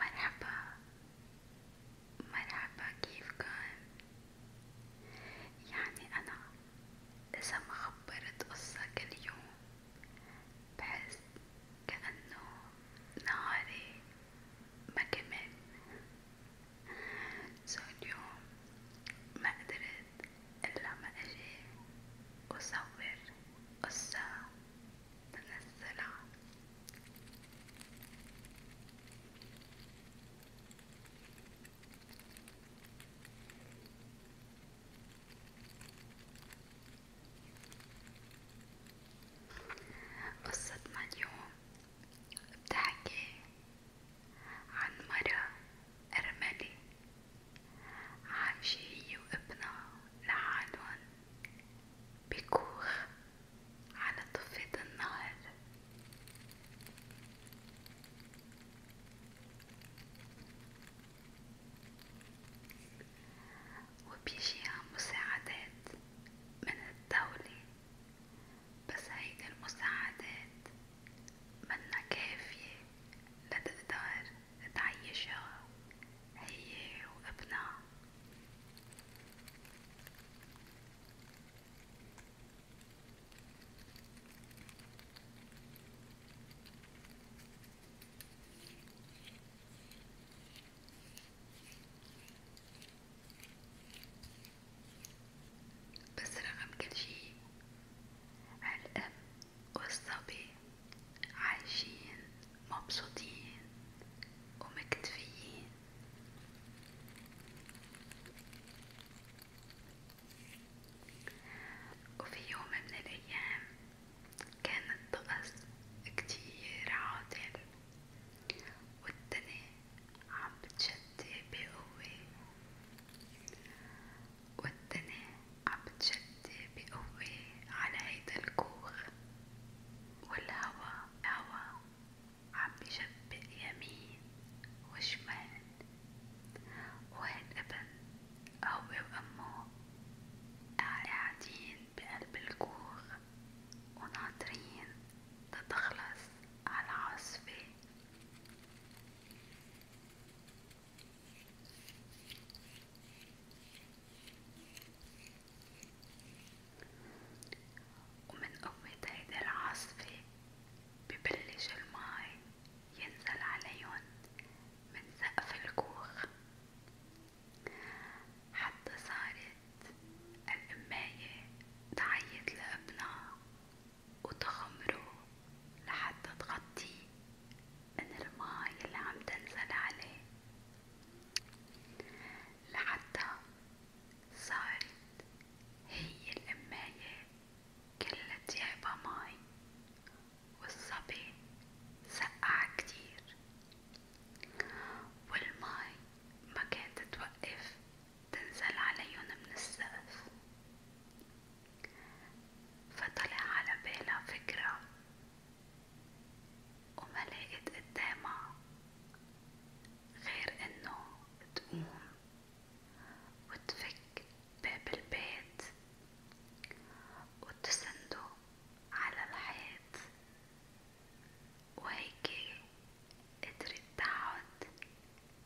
مرحبا مرحبا كيف كان؟ يعني أنا إذا ما خبرت قصك اليوم بحس كأنه نهاري ما كمل سو اليوم ما قدرت إلا ما أجي وصور قصة تنزلها قصتنا اليوم بتحكي عن مرة أرملة عايشة هي وابنها لحالهم بكوخ على ضفة النهر وبيجيها مساعدات من الدولة بس هيدي المساعدات منا كافية لتقدر تعيشها هي وابنها بس رغم كل شي الأم والصبي عايشين مبسوطين ومكتفيين وفي يوم من الأيام كان الطقس كتير عاطل والدنيا عم بتشتي بقوة والدنيا عم بتشتي بقوة على هيدا الكوخ والهوا الهوا عم بيشبق يمين وشمال وهالابن هو وأمه قاعدين بقلب الكوخ وناطرين تتخلص عالعاصفة ومن قوة هيدي العاصفة ببلش الماي ينزل عليهن من سقف الكوخ حتى صارت الأماية تعيط لابنها وتغمره لحتى تغطيه من الماي اللي عم تنزل عليه لحتى صارت هي الأماية كلة ديعبة ماي والصبي سقع كتير والماي ما كانت توقف تنزل عليهم من السقف فطلع على بالها فكرة وما لقيت قدامها غير انه تقوم وتفك باب البيت وتسندو على الحيط وهيك قدرت تقعد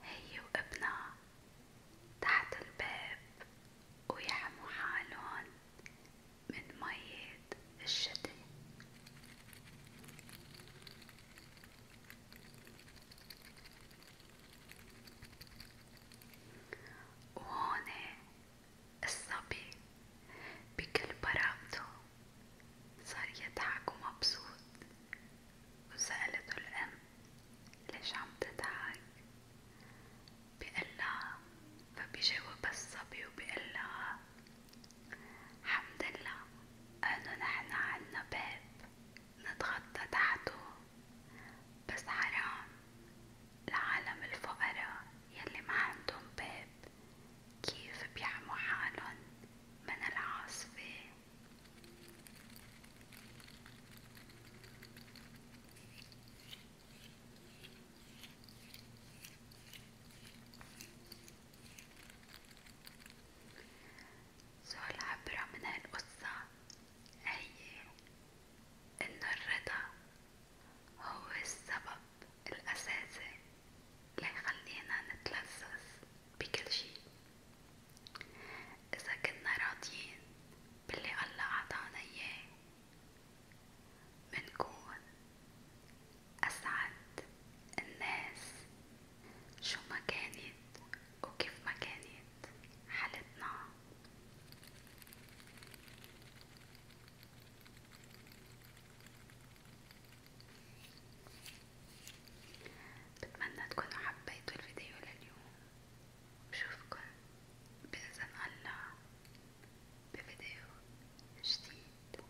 هي وابنها تحت الباب ويحموا حالهم من مية الشتاء وهون الصبي بكل براءته صار يضحك ومبسوط وسألته الأم ليش عم تضحك بقلها فبيجاوبها الصبي وبقلها حمد الله أنه نحن عنا باب نتغطى تحته بس حرام لعالم الفقراء يلي ما عندهم باب كيف بيحموا حالن من العاصفة سؤال عبرة من هالقصة هي إنه الرضا هو السبب الأساسي ليخلينا نتلذذ بكل شي إذا كنا راضيين باللي الله عطانا إياه منكون أسعد الناس شو ما كانت وكيف ما كانت حالتنا بتمنى تكونوا حبيتوا الفيديو لليوم بشوفكن بإذن الله بفيديو جديد